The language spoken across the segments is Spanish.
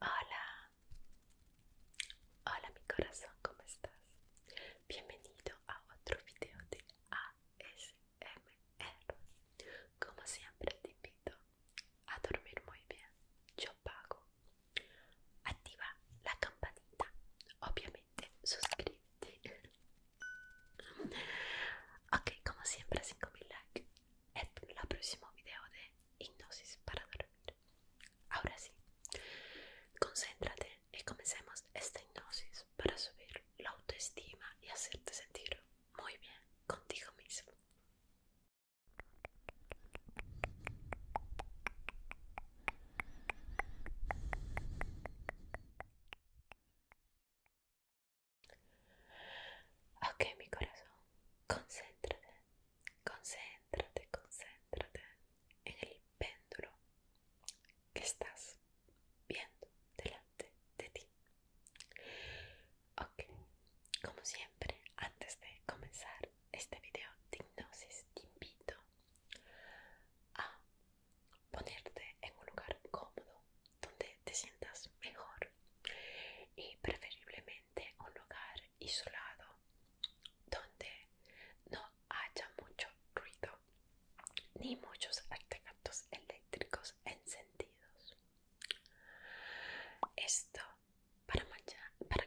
Hola, hola mi corazón, ¿cómo estás? Bienvenido a otro video de ASMR. Como siempre te invito a dormir muy bien, yo pago. Activa la campanita, obviamente suscríbete. ok, como siempre 5.000 likes. El próximo video de hipnosis para dormir. Ahora sí, concéntrate y comencemos esta hipnosis para subir la autoestima y hacerte sentir muy bien contigo mismo. Ok, mi corazón, concéntrate, concéntrate, concéntrate en el péndulo que estás viendo delante de ti. Ok, como siempre, antes de comenzar este video de hipnosis, te invito a ponerte en un lugar cómodo donde te sientas mejor y preferiblemente de un lugar isolado donde no haya mucho ruido ni muchos artefactos eléctricos encendidos. Esto para,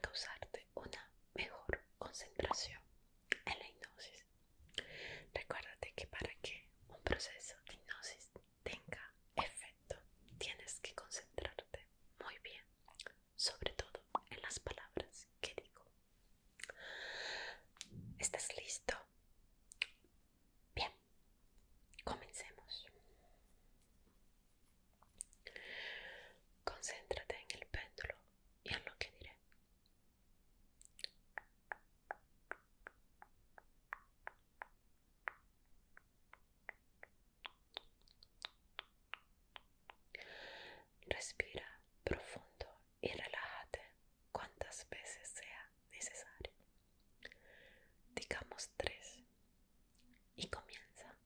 causarte una mejor concentración en la hipnosis. Recuérdate que para que un proceso de hipnosis tenga efecto, tienes que concentrarte muy bien, sobre todo en las palabras que digo. ¿Estás listo? Bien, comencemos. Concéntrate en el péndulo y en lo que diré. Respira profundo y relájate cuantas veces sea necesario. Digamos tres y comienza.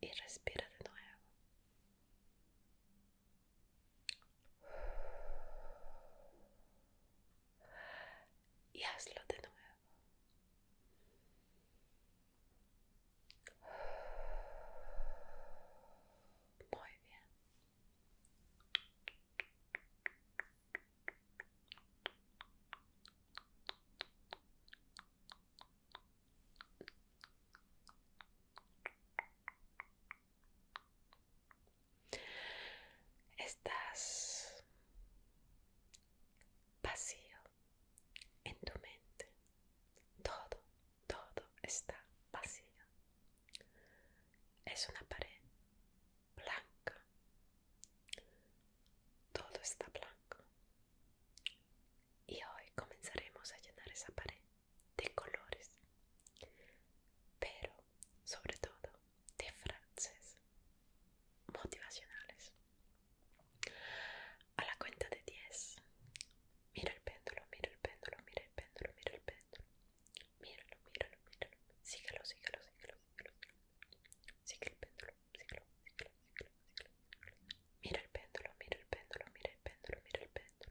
Y respira de nuevo. Y hazlo de nuevo. Muy bien. Estás vacío en tu mente. Todo, todo está vacío. Es una pared blanca. Todo está blanco. Y hoy comenzaremos a llenar esa pared de colores, pero sobre todo de frases motivacionales. A la cuenta de 10, mira el péndulo, mira el péndulo, mira el péndulo, mira el péndulo, mira míralo, míralo, mira, el péndulo, mira el péndulo, mira el péndulo, mira el péndulo, mira el péndulo,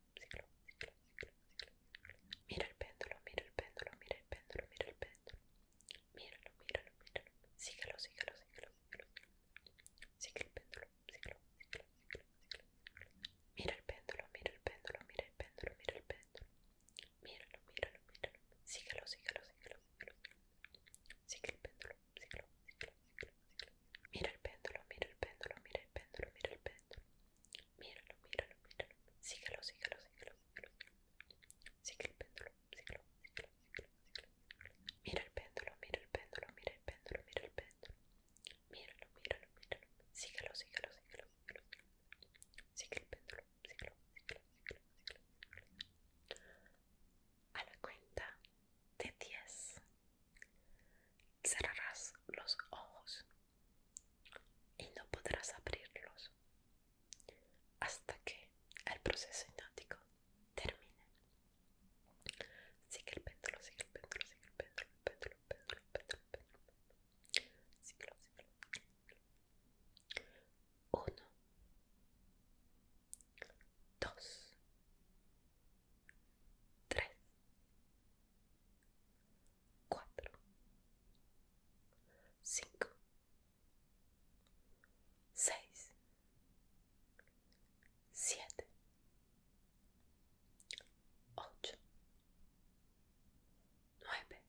ciclo, ciclo, ciclo, ciclo, ciclo. Mira el péndulo, mira el péndulo, mira el péndulo, mira el péndulo. Míralo, míralo, míralo. Síguelo, síguelo, síguelo, síguelo. Sigue el péndulo, ciclo, ciclo, ciclo, ciclo. Mira el péndulo, mira el péndulo, mira el péndulo, mira el péndulo. Míralo, míralo, míralo. Síguelo, síguelo, síguelo, síguelo. Sigue el péndulo, Mira el péndulo, mira el péndulo, mira el péndulo, mira el péndulo. Míralo, míralo, míralo. Síguelo, síguelo, sigalo Sigue el péndulo, síguelo, Mira el péndulo, mira el péndulo, mira el péndulo, mira el péndulo. Míralo, péndulo, A la cuenta de 10 Cerrarás los ojos y no podrás abrirlos hasta que el proceso hipnótico termine. Sigue el péndulo, sigue el péndulo, sigue el péndulo, péndulo, péndulo, el péndulo. Síguelo, síguelo, síguelo. Uno, dos, tres, cinco, seis, siete, ocho, nueve,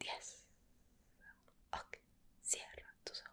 diez. Ok, cierra tus ojos.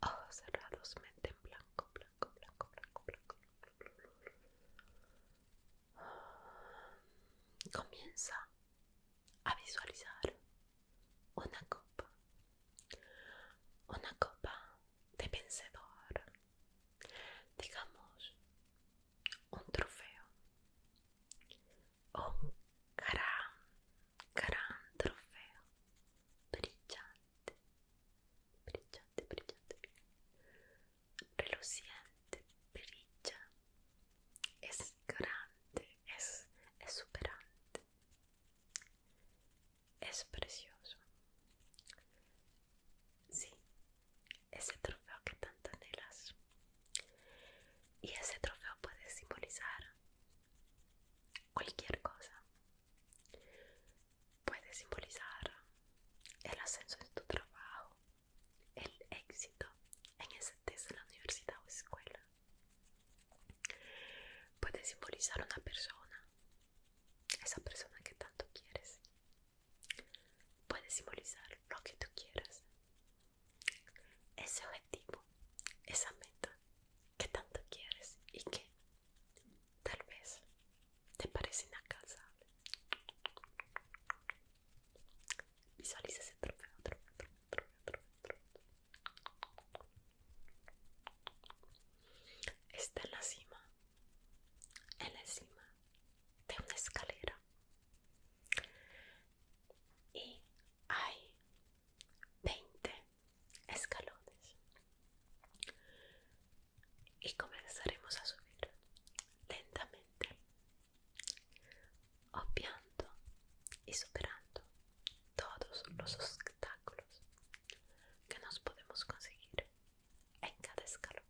Ojos cerrados, en blanco, blanco, blanco, blanco, blanco. Comienza a visualizar una copa, una copa de vencedor, digamos un trofeo, un gran, gran trofeo brillante, brillante, brillante, reluciente, brilla, es grande, es superante es precioso. Sí, ese trofeo que tanto anhelas. Y ese trofeo puede simbolizar cualquier cosa. Puede simbolizar el ascenso de tu trabajo, el éxito en esa tesis de la universidad o escuela. Puede simbolizar una persona, esa persona que tanto quieres. Puede simbolizar lo que tú quieras, ese objetivo, esa meta que tanto quieres y que tal vez te parece inalcanzable. Visualiza ese trofeo, trofeo, trofeo, trofeo, trofeo. Está en la cima, en la cima de una escalera. Y hay 20 escalones y comenzaremos a subir lentamente obviando y superando todos los obstáculos que nos podemos conseguir en cada escalón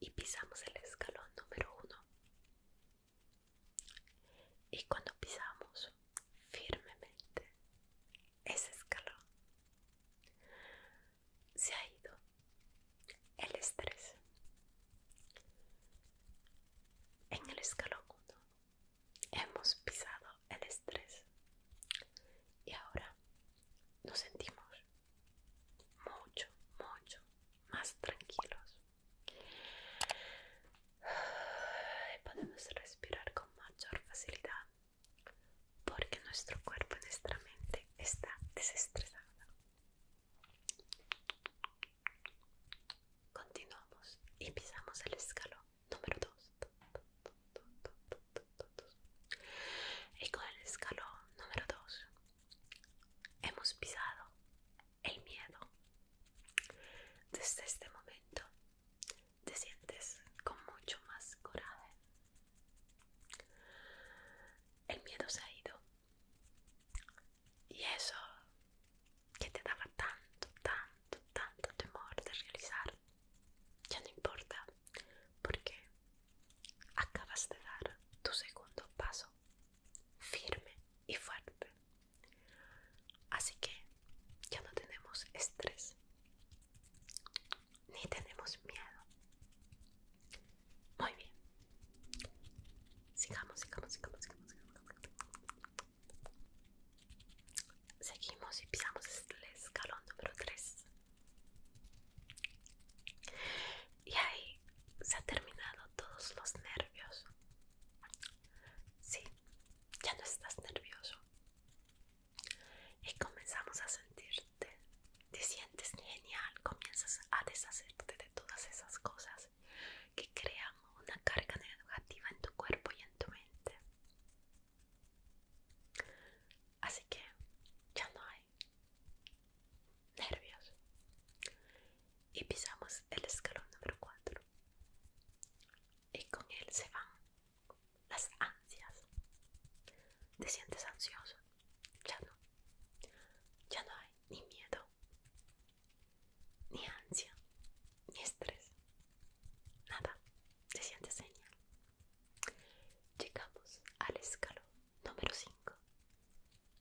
y pisamos el escalón número uno y cuando pisamos firmemente ese escalón se ha ido el estrés en el escalón 1 hemos pisado el estrés y ahora nos sentimos mucho mucho más tranquilos y Podemos respirar con mayor facilidad porque nuestro cuerpo y nuestra mente está desestresada. Continuamos y pisamos el escalón número 2. Y con el escalón número 2 hemos pisado el miedo. Desde este momento te sientes con mucho más coraje. El miedo se ha ido. Y eso que te daba tanto, tanto, tanto temor de realizar, ya no importa, porque acabas de dar tu segundo paso firme y fuerte. Así que ya no tenemos estrés, ni tenemos miedo. Muy bien. Sigamos, sigamos, sigamos, sigamos, sigamos. Seguimos y pisamos el escalón número 3. Y ahí se han terminado todos los nervios Sí, ya no estás nervioso. Y comenzamos a sentirte. Te sientes genial, comienzas a deshacerte de todas esas cosas que crean una carga negativa en tu cuerpo y en tu mente. Así que ya no hay nervios y pisamos el escalón número 4. Y con él se van las ansias. Te sientes ansioso. Ya no. Ya no hay ni miedo, ni ansia, ni estrés. Nada. Te sientes genial. Llegamos al escalón número 5.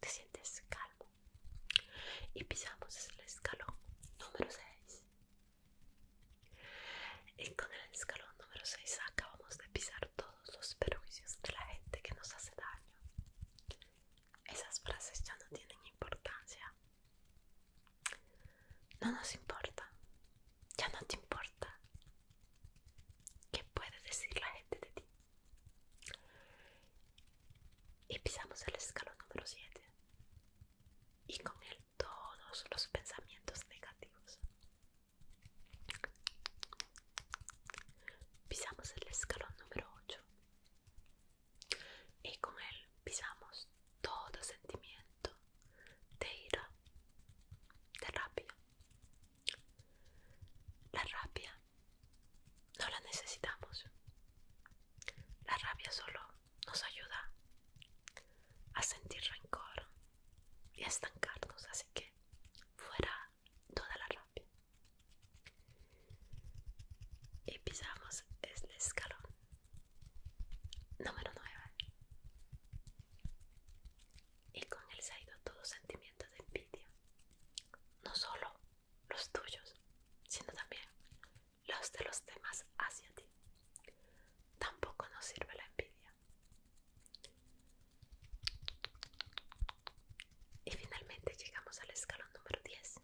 te sientes calmo. Y pisamos el escalón número 6. Y con el escalón número 6 acabamos de pisar todos los perjuicios de la gente que nos hace daño. Esas frases ya no tienen importancia. No nos importa. Ya no te importa ¿Qué puede decir la gente de ti? Y pisamos el escalón número 7. Y con él todos los pensamientos negativos. Pisamos el escalón número 8. Y con él pisamos todo sentimiento de ira, de rabia, la rabia no la necesitamos. La rabia solo nos ayuda a sentir rencor y a estancarnos, así que fuera toda la rabia. Y pisamos el este escalón número 9 y con él se ha ido todo sentimiento de envidia, no solo los tuyos, sino también los de los demás hacia ti. Tampoco nos sirve la envidia. Y finalmente llegamos al escalón número 10.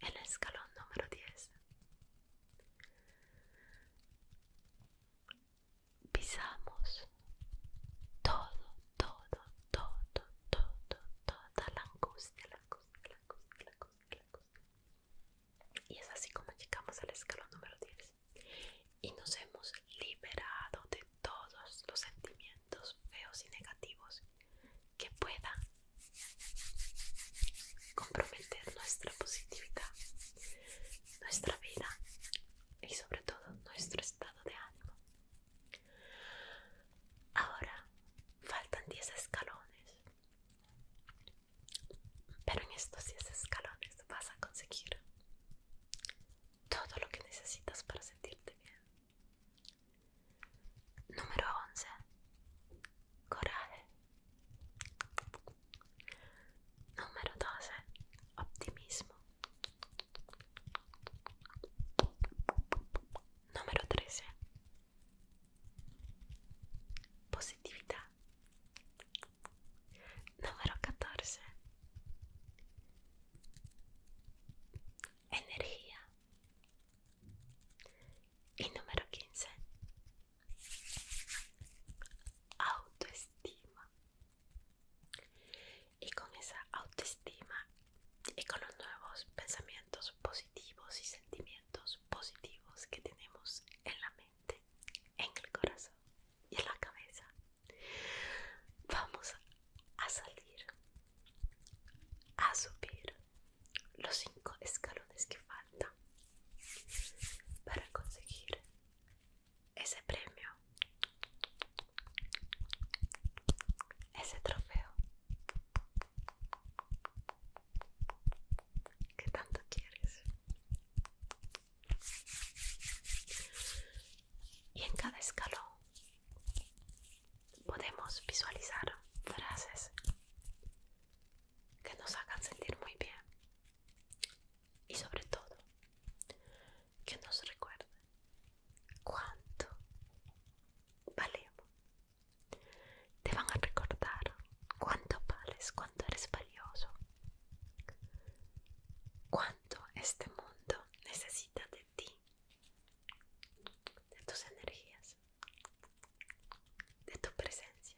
El escalón número 10 pisamos todo, todo, todo, todo, toda la angustia, la angustia, la angustia, la angustia. Y es así como llegamos al escalón número 10 y nos hemos liberado de todos los sentimientos feos y negativos que puedan comprometer nuestra positividad nuestra vida y sobre todo nuestro estado de ánimo. Ahora faltan 10 escalones, pero en estos 10 escalones vas a conseguir todo lo que necesitas para sentirte bien. Número 11. Coraje. Numero 12. Ottimismo. Numero 13. Positività. Numero 14. Energia. Il numero 15. autoestima y con esa autoestima y con los nuevos pensamientos positivos y sentimientos positivos que tenemos en la mente, en el corazón y en la cabeza, vamos a salir a subir los cinco escalones que faltan para conseguir ese premio, ese trofeo que tanto quieres. Y en cada escalón podemos visualizar frases que nos hagan sentir muy bien y sobre todo que nos recuerde cuánto valemos. Te van a recordar cuánto vales, cuánto eres valioso, cuánto este mundo necesita de ti, de tus energías, de tu presencia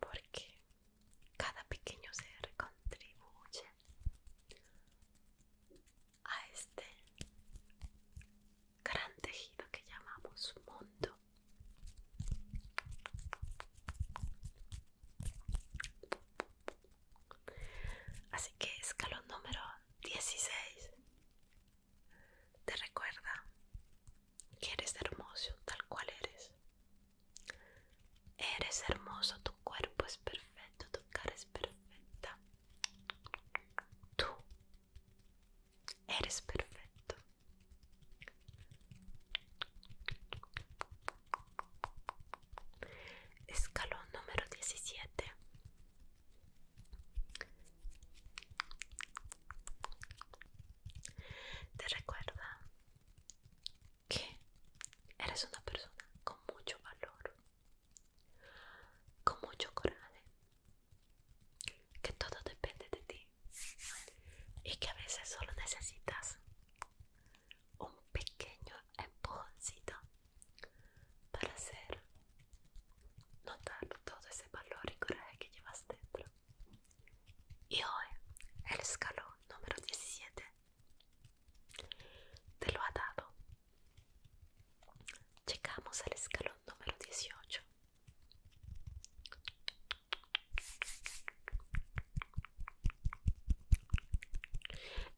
porque cada pequeño ser contribuye a este gran tejido que llamamos mundo. Así que escalón número 16 te recuerda que eres hermoso tal cual eres. Eres hermoso, tu cuerpo es perfecto, tu cara es perfecta. Tú eres perfecto. Escalón número 17. Te recuerda que eres una persona con mucho valor, con mucho coraje, que todo depende de ti y que a veces solo necesitas un pequeño empujoncito para hacer notar todo ese valor y coraje que llevas dentro. Y hoy, el escalón número 17 te lo ha dado. Llegamos al escalón número 18.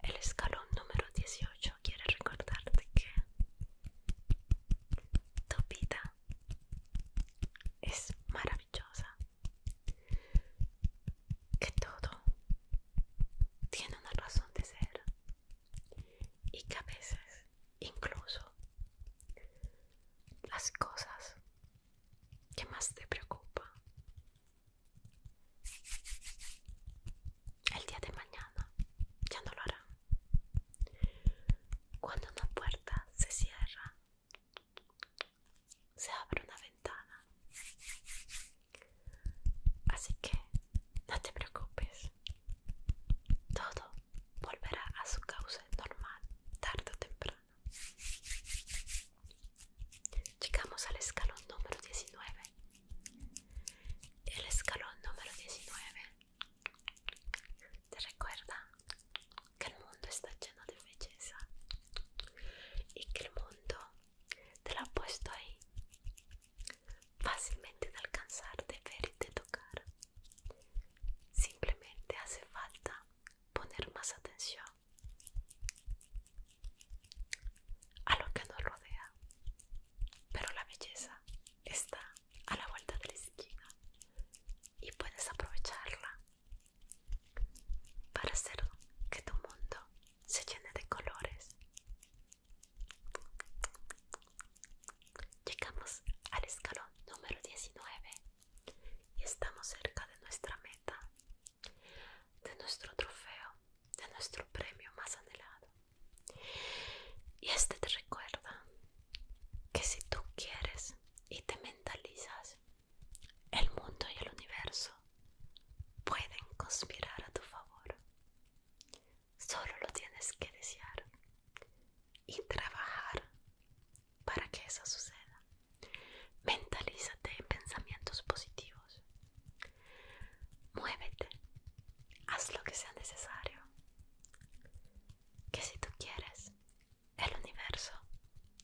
El escalón número 18 quiere recordarte que tu vida es maravillosa, que todo tiene una razón de ser y que a veces incluso las cosas que más te preocupan el día de mañana ya no lo harán cuando una puerta se cierra, se abre una ventana. Así que no te preocupes. Todo volverá a su causa normal tarde o temprano. Llegamos al escalón número 19. El escalón número 19 te recuerda que el mundo está lleno de belleza y que el mundo te lo ha puesto ahí, fácilmente de alcanzar, de ver y de tocar. Simplemente hace falta poner más atención a lo que nos rodea, pero la belleza está a la vuelta de la esquina y puedes aprovecharla para hacer que tu mundo se llene de colores. Llegamos al escalón número 19 y estamos cerca de nuestra meta, de nuestro trofeo, de nuestro premio más anhelado. Y este te recuerda que si tú quieres y te mentalizas, el mundo y el universo pueden conspirar a tu favor. Solo lo tienes que desear y trabajar para que eso suceda. Mentalízate en pensamientos positivos. Muévete. Haz lo que sea necesario que si tú quieres, el universo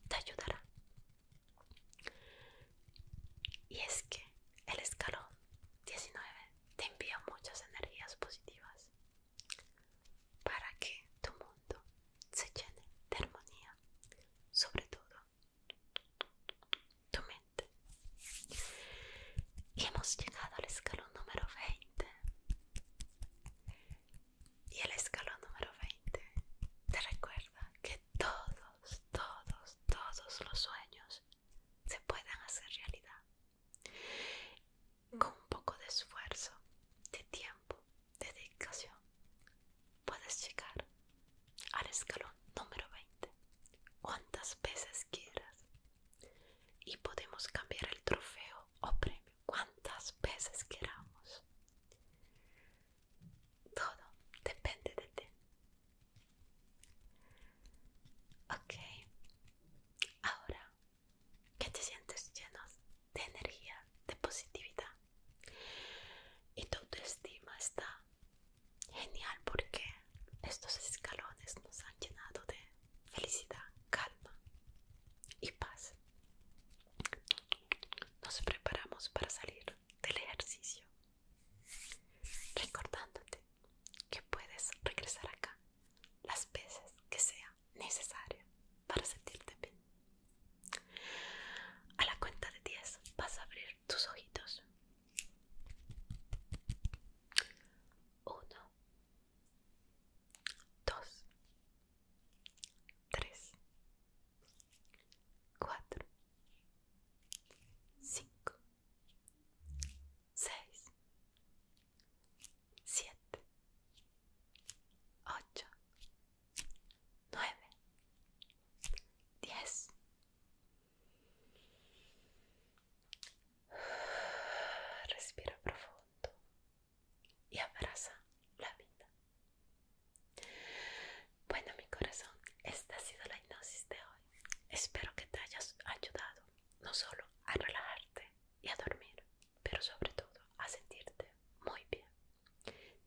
te ayudará. Y es que el escalón 19 te envía muchas energías positivas para que tu mundo se llene de armonía, sobre todo tu mente. Y hemos llegado al escalón número 20. Y el escalón número 20 te recuerda que todos, todos, todos los sueños se pueden hacer realidad. Con un poco de esfuerzo, de tiempo, de dedicación, puedes llegar al escalón número 20 cuantas veces quieras. Y podemos cambiar el trofeo o oh, premio cuantas veces queramos. Todo depende de ti. Ok, ahora que te sientes lleno de energía, de positividad y tu autoestima está genial porque estos escalones nos han llenado de felicidad, calma y paz. Nos preparamos para salir del ejercicio, recordándote que puedes regresar acá las veces que sea necesario para sentirte bien. A la cuenta de 10 vas a abrir tus ojitos. 1, dos, tres, cuatro, cinco, seis, siete, ocho, nueve, diez. Respira profundo y abraza la vida. Bueno, mi corazón, esta ha sido la hipnosis de hoy. Espero que te hayas ayudado no solo a relajarte y a dormir, pero sobre todo a sentirte muy bien.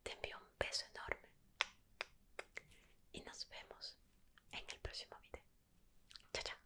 Te envío un beso enorme y nos vemos en el próximo video. Chao, chao.